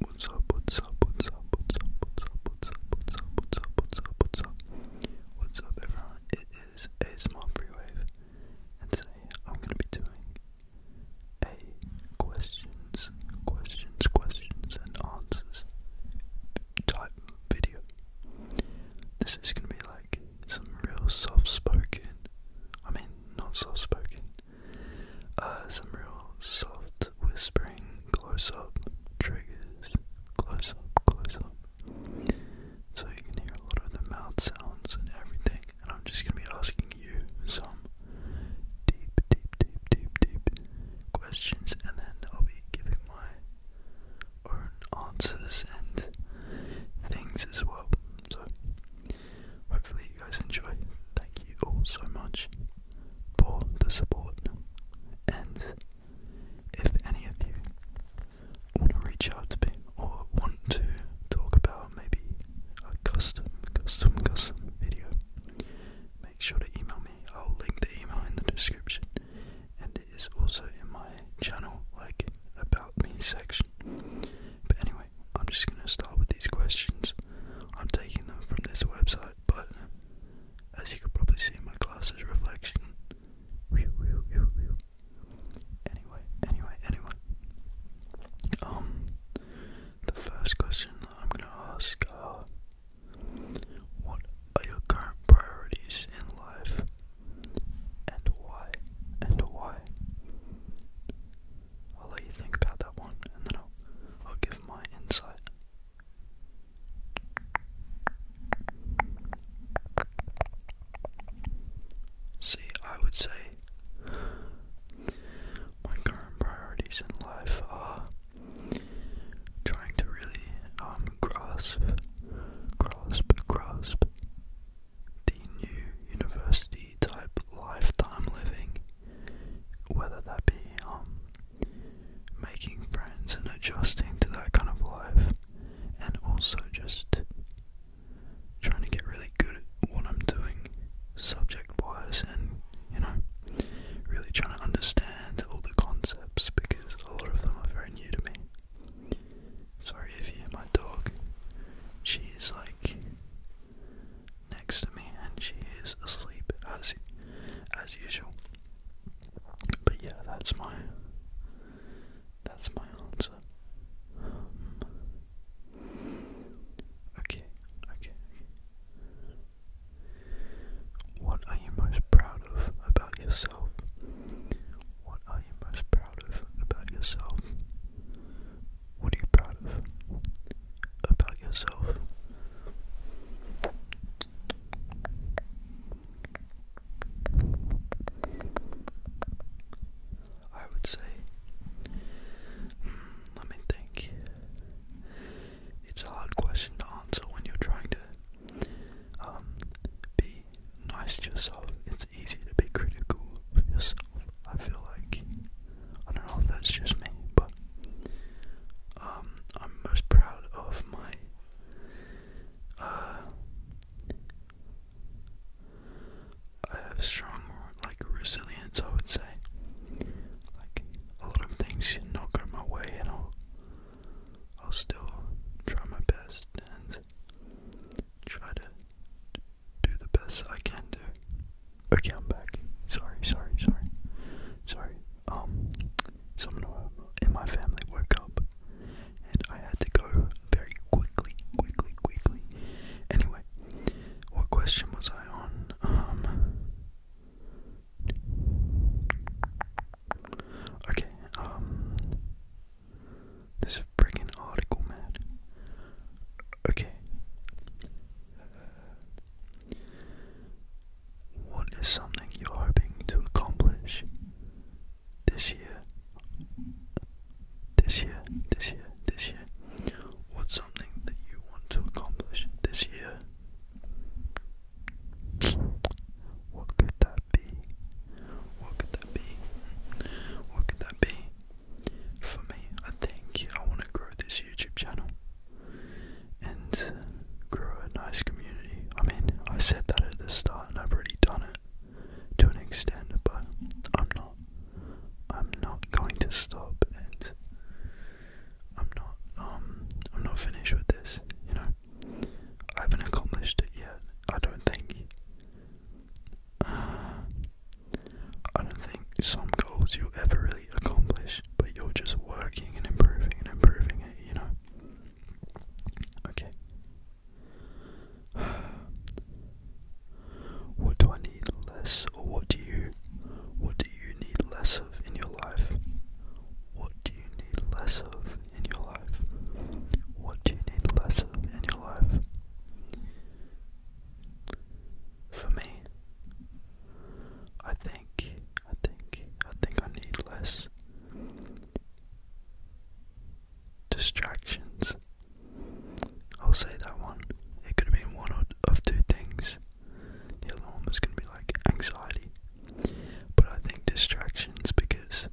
What's up, what's up, what's up, what's up, what's up, what's up, what's up, what's up, what's up, what's up? What's up everyone? It is a small free wave and today I'm gonna be doing a questions, questions, questions and answers type video. This is gonna be like some real soft spoken I mean not soft spoken uh, some real soft whispering, close up triggers, close up, close up. So you can hear a lot of the mouth sounds and everything. And I'm just gonna be asking you some deep, deep, deep, deep, deep questions, and then I'll be giving my own answers and things as well. So Hopefully, you guys enjoy. Thank you all so much for the support. And if any of you want to reach out to me or want to talk about maybe a custom, custom, custom video, make sure to email me. I'll link the email in the description. And it is also in my channel, like about me section. But anyway, I'm just going to start with these questions. I'm taking them from this website, but as you can probably see in my glasses reflection. Anyway, anyway, anyway. Um, the first question I'm going to ask are What are your current priorities in life? And why? And why? I'll let you think about that one and then I'll, give my insight. See, I would say my current priorities in life are trying to really um, grasp, grasp, grasp the new university community type lifetime living, whether that be um, making friends and adjusting to that kind of life, and also just trying to get really good at what I'm doing subject wise and you know, really trying to understand all the concepts because a lot of them are very new to me. Sorry if you hear my dog. she's like next to me, and she is asleep as as usual. But yeah, that's my that's my answer. okay, okay. What are you most proud of about yourself? What are you most proud of about yourself? What are you proud of about yourself? I would say, hmm, let me think. It's a hard question to answer when you're trying to um, be nice to yourself. It's easy to be critical of yourself. I feel like I don't know if that's just me, but um, I'm most proud of my uh, I have strong like resilience. I would say like a lot of things should not go my way, and I'll I'll still try my best and try to do the best I can do. Okay, I'm back. Sorry, sorry, sorry. Sorry. Um, someone in my family woke up and I had to go very quickly, quickly, quickly. Anyway, what question was I on? Um, okay, um, this freaking article, man. Okay. What is something you're hoping to accomplish this year? This year, this year, this year. What's something that you want to accomplish this year? What could that be? What could that be? What could that be? for me, I think I want to grow this YouTube channel and grow a nice community. I mean, I said that at the start and I've already done it to an extent, but I'm not I'm not going to stop and I'm not um I'm not finished with this, you know. I haven't accomplished it yet. I don't think I don't think some goals you'll ever really accomplish, but you're just working and improving and improving it, you know? Okay. What do I need less, or what do you, what do you need less of in your life? What do you need less of in your life? What do you need less of in your life? for me. I think, I think, I think I need less distractions. I'll say that one. It could have been one of two things. The other one going to be like anxiety. But I think distractions because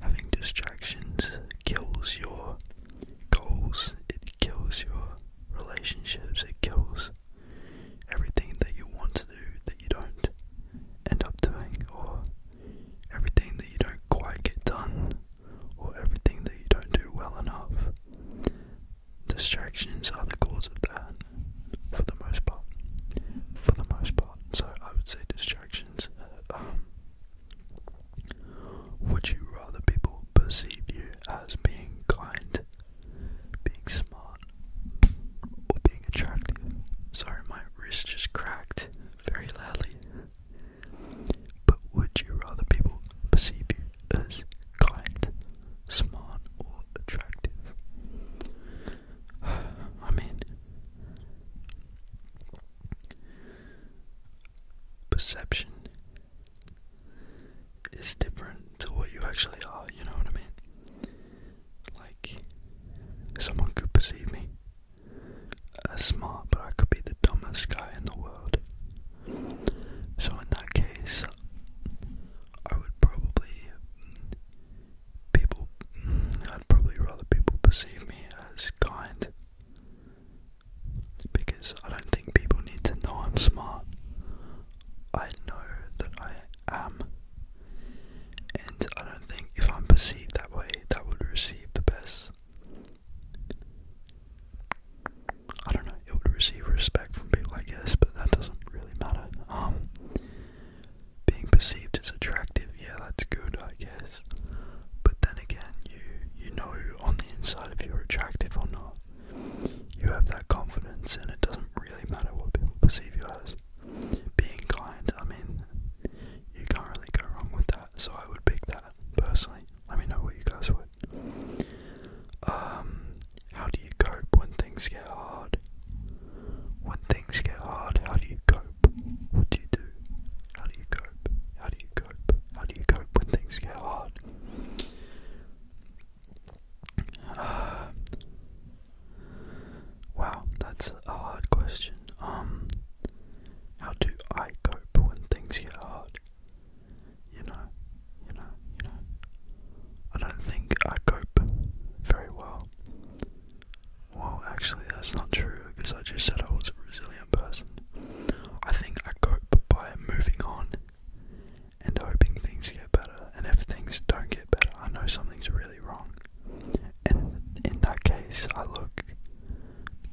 having distractions kills your goals, it kills your relationships, it kills everything that you want to do that you don't end up doing, or everything that you don't quite get done, or everything that you don't do well enough. Distractions are the cause of that for the most part. For the most part. So I would say distractions uh, would you rather people perceive you as being kind, being smart, or being attractive? Sorry, my wrist just cracked very loudly. But would you rather people perceive you as kind, smart, or attractive? I mean, perception is different to what you actually are, you know what I mean? Like, someone could perceive me as smart, but I could be the dumbest guy in the world. So, in that case, I would probably. People. I'd probably rather people perceive me as kind because I don't think people need to know I'm smart. I know that I am, and I don't think if I'm perceived that way, that would receive the best. I don't know, it would receive respect from people, I guess, but that doesn't really matter. Um, being perceived as attractive, yeah, that's good, I guess. But then again, you you know on the inside if you're attractive or not. You have that confidence, and it doesn't really matter what people perceive you as. Being kind, I mean, you can't really go wrong with that. So I would pick that personally. Let me know what you guys would. Um, how do you cope when things get hard? When things get hard, how do you cope? What do you do? How do you cope? How do you cope? How do you cope when things get hard? Uh, wow, that's a hard question. Um, how do I cope when things get hard? You know, you know, you know. I don't think I cope very well. Well, actually, that's not true because I just said I was resilient person. I think I cope by moving on and hoping things get better. And if things don't get better, I know something's really wrong. And in that case, I look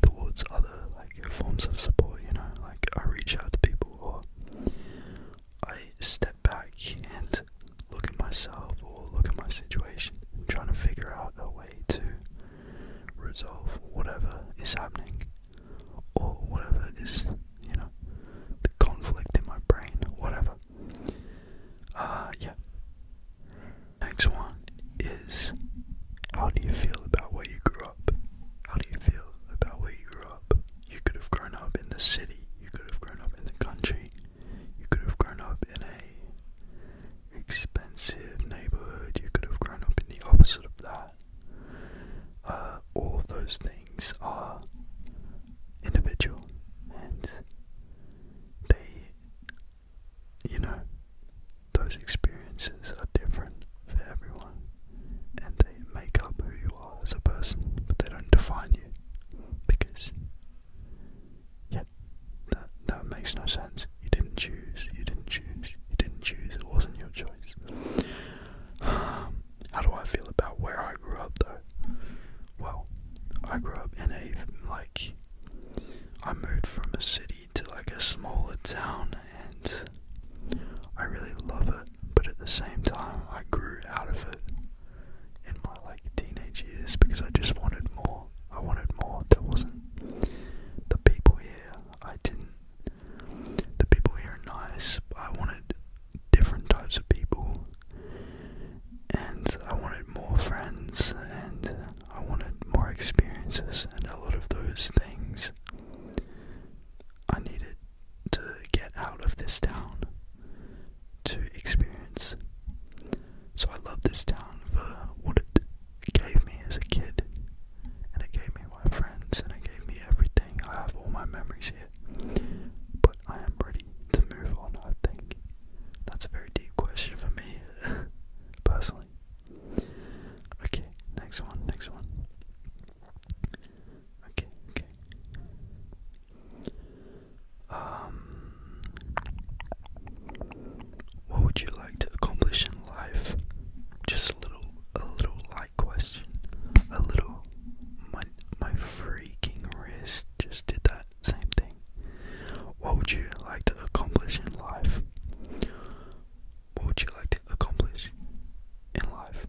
towards other like forms of support. You know, like I reach out to people, or I step back and look at myself, or look at my situation, trying to figure out a way to resolve whatever is happening or whatever is, you know, the conflict in my brain, whatever. Uh, yeah. Next one is how do you feel about where you grew up? How do you feel about where you grew up? You could have grown up in the city, you could have grown up in the country, you could have grown up in a expensive neighborhood. You could have grown up in the opposite of that. Uh, all of those things are individual and they, you know, those experiences are different for everyone and they make up who you are as a person, but they don't define you because, yeah, that, that makes no sense. You didn't choose, you didn't choose, you didn't choose, it wasn't your choice. How do I feel about where I grew up though? Well, I grew up in a, like, I moved from a city to like a smaller town and I really love it, but at the same time, I grew out of it in my like teenage years because I just wanted more. I wanted more. There wasn't the people here. I didn't. The people here are nice, I wanted different types of people, and I wanted more friends, and I wanted more experiences, and a lot of those things I needed to get out of this town to experience. So I love this town for what it gave me as a kid, and it gave me my friends, and it gave me everything. I have all my memories here, but I am ready to move on. I think that's a very deep question for me, personally. Okay, next one, next one. Okay, okay. Um, what would you like to accomplish in life? Just a little, a little light question. A little, my my freaking wrist just did that same thing. What would you like to accomplish in life? What would you like to accomplish in life?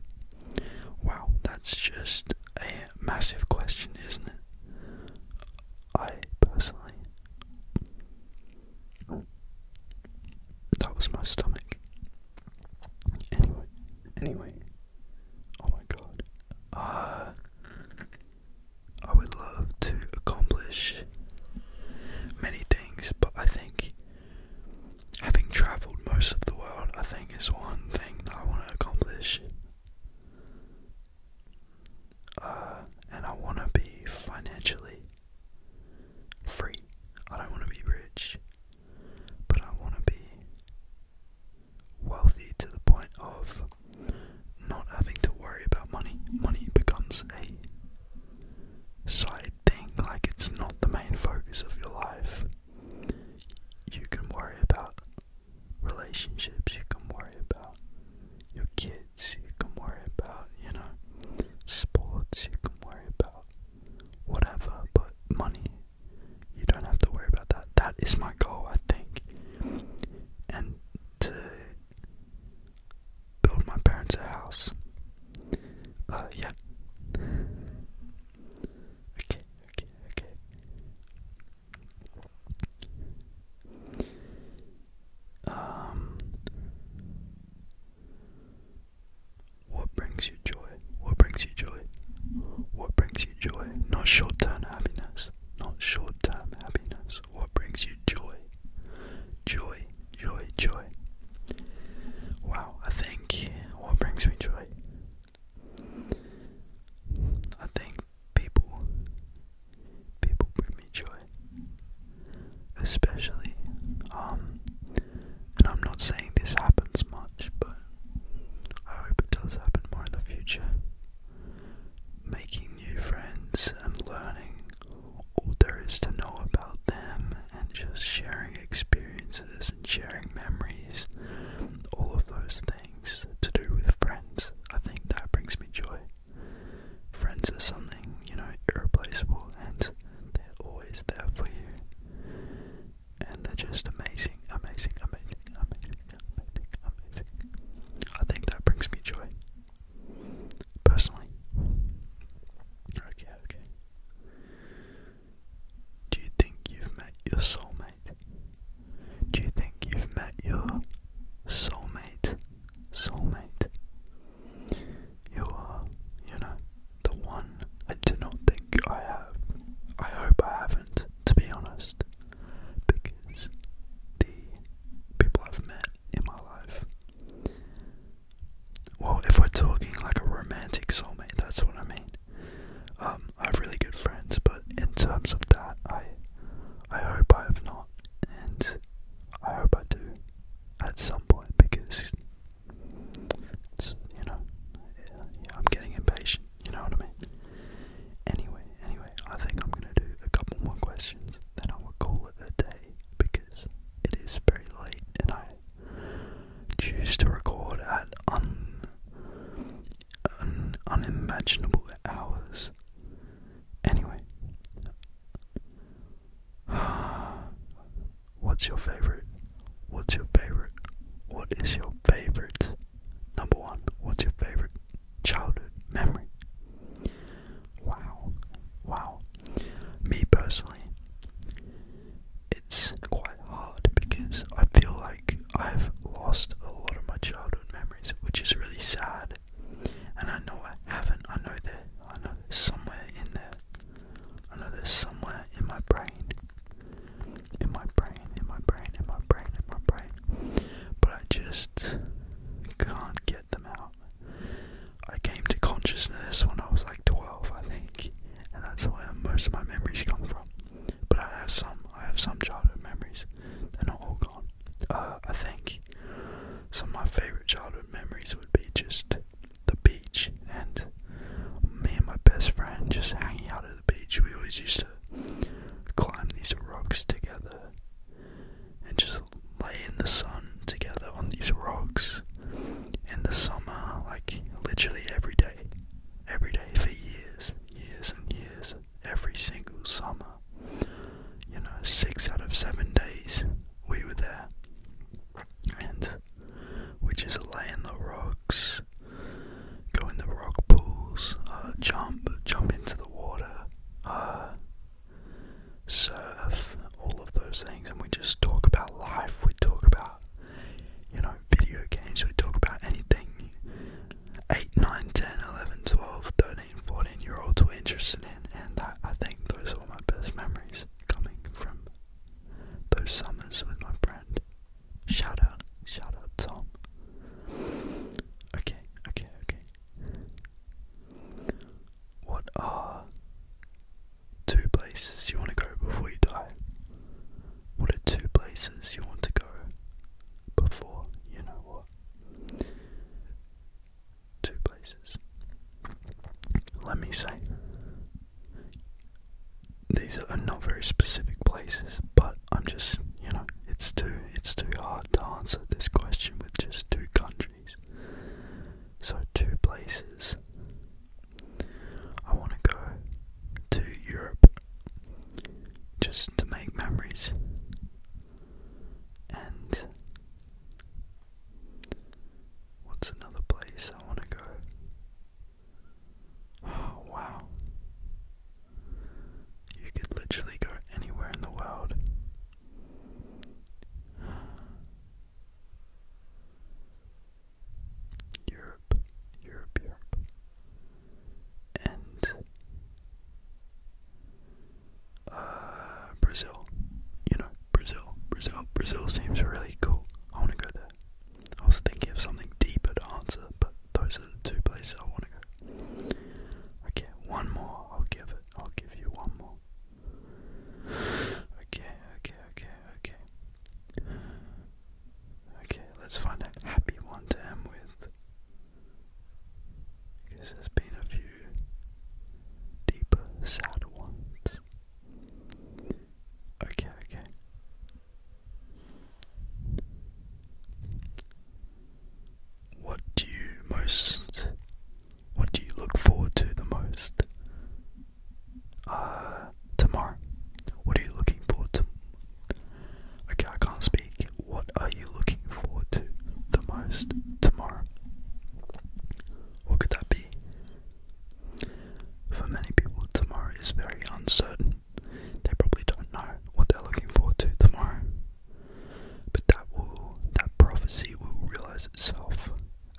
Wow, that's just a massive question, isn't it? I personally that was my stomach. Anyway, anyway. Oh my god. Uh, I would love to accomplish many things, but I think having traveled most of the world, I think is one thing that I want to accomplish. Uh, and I want to be financially free. I don't want to be rich, but I want to be wealthy to the point of not having to worry about money. Money becomes a side thing, like it's not the main focus of your life. You can worry about relationships, you can worry about your kids, you can worry about, you know, sports, you can worry about whatever, but money, you don't have to worry about that. That is my goal, I think. And to build my parents a house. Uh, yeah. Okay, okay, okay. Um, what brings you joy? What brings you joy? What brings you joy? Not short term happiness. Not short term happiness. What brings you joy? Joy, joy, joy. Wow, I think what brings me joy? I think people people bring me joy. Especially, um, and I'm not saying this happens much, but I hope it does happen more in the future. Making new friends and learning all there is to know about them and just sharing experiences and sharing memories, all of those things to do with friends. I think that brings me joy friends are something, you know, irreplaceable and they're always there for you. And they're just amazing, amazing, amazing, amazing, amazing, amazing. I think that brings me joy. Personally. Okay, okay. Do you think you've met your soulmate? Do you think you've met your soulmate? soulmate. You are, you know, the one I do not think I have. I hope I haven't, to be honest, because the people I've met in my life. Well, if we're talking like a romantic soulmate, that's what I mean. Um, I have really good friends, but in terms of that, I, I hope I have not and I hope I do at some point because you know I'm getting impatient. You know what I mean. Anyway, anyway, I think I'm gonna do a couple more questions, then I will call it a day because it is very late and I choose to record at un unimaginable hours. Anyway, what's your favorite? What's your favorite? What is your favorite? Number one, what's your favorite childhood memory? Wow, wow. Me personally, it's quite hard because I feel like I've lost a lot of my childhood memories, which is really sad. And I know I haven't. I know that I know there's somewhere in there. I know there's somewhere in my brain. In my brain, in my brain, in my brain, in my brain. But I just can't get them out. I came to consciousness when I was like 12, I think, and that's where most of my memories come from. But I have some, I have some childhood memories. They're not all gone. Uh, I think like some of my favorite childhood memories would be just the beach and me and my best friend just hanging out at the beach. We always used to climb these rocks together and just lay in the sun together on these rocks in the summer, like literally every day, every day for years, years and years every single summer. You know, six out of seven days we were there. And we just lay in the rocks, go in the rock pools, uh, jump, jump into the water, uh, surf, all of those things. And we just talk about life, we talk about, you know, video games, we talk about anything 8, 9, 10, 11, 12, 13, 14 year olds were interested in, and I, think those were my best memories coming from those summers with my friend. Shout out, shout out, Tom. Okay, okay, okay. What are two places you want to go before you die? What are two places you want to go before you know what. Two places. Let me say, these are not very specific places, but I'm just, you know, it's too it's too hard to answer this question with just two countries. So two places. I want to go to Europe just to make memories and what's another place I want to go? Oh, wow. You could literally go anywhere in the world. Europe, Europe, Europe. And uh, Brazil. You know, Brazil, Brazil, Brazil seems really cool. I want to go there. I was thinking of something deeper to answer, but those are the two places I want to go. Okay, one more. I'll give it. I'll give you one more. Okay, okay, okay, okay. Okay, let's find a happy one to end with because there's been a few deeper, sad ones. Okay, okay. What do you most. What do you look forward to the most? Uh, tomorrow. What are you looking forward to? Okay, I can't speak. What are you looking forward to the most tomorrow? What could that be? For many people, tomorrow is very uncertain. They probably don't know what they're looking forward to tomorrow. But that will that prophecy will realize itself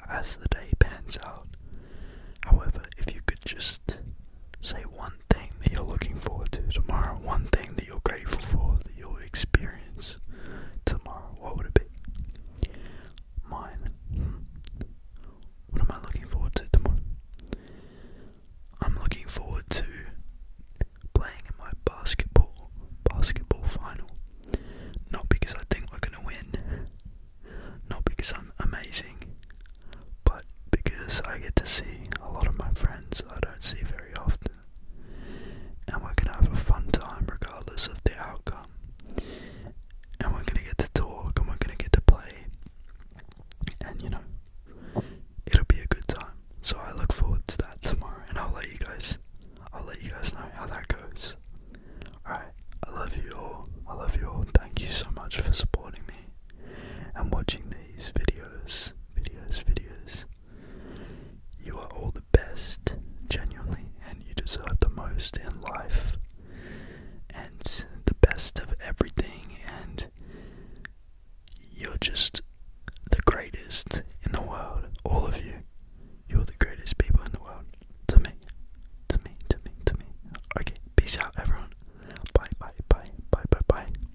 as the day pans out. However, if you could just say one one thing that you're looking forward to tomorrow, one thing that you're grateful for that you'll experience tomorrow, what would it be? Mine. What am I looking forward to tomorrow? I'm looking forward to playing in my basketball basketball final. Not because I think we're gonna win, not because I'm amazing, but because I get to see a lot of my friends I don't see very often and we're gonna have a fun time regardless of the outcome. And we're gonna get to talk and we're gonna get to play, and you know, it'll be a good time. So I look forward to that tomorrow, and I'll let you guys, I'll let you guys know how that goes. All right, I love you all. I love you all. Thank you so much for supporting me and watching these videos, videos, videos. You are all the best, genuinely, and you deserve the most in life and the best of everything, and you're just the greatest in the world. All of you. You're the greatest people in the world. To me. To me, to me, to me. Okay, peace out, everyone. Bye, bye, bye, bye, bye, bye.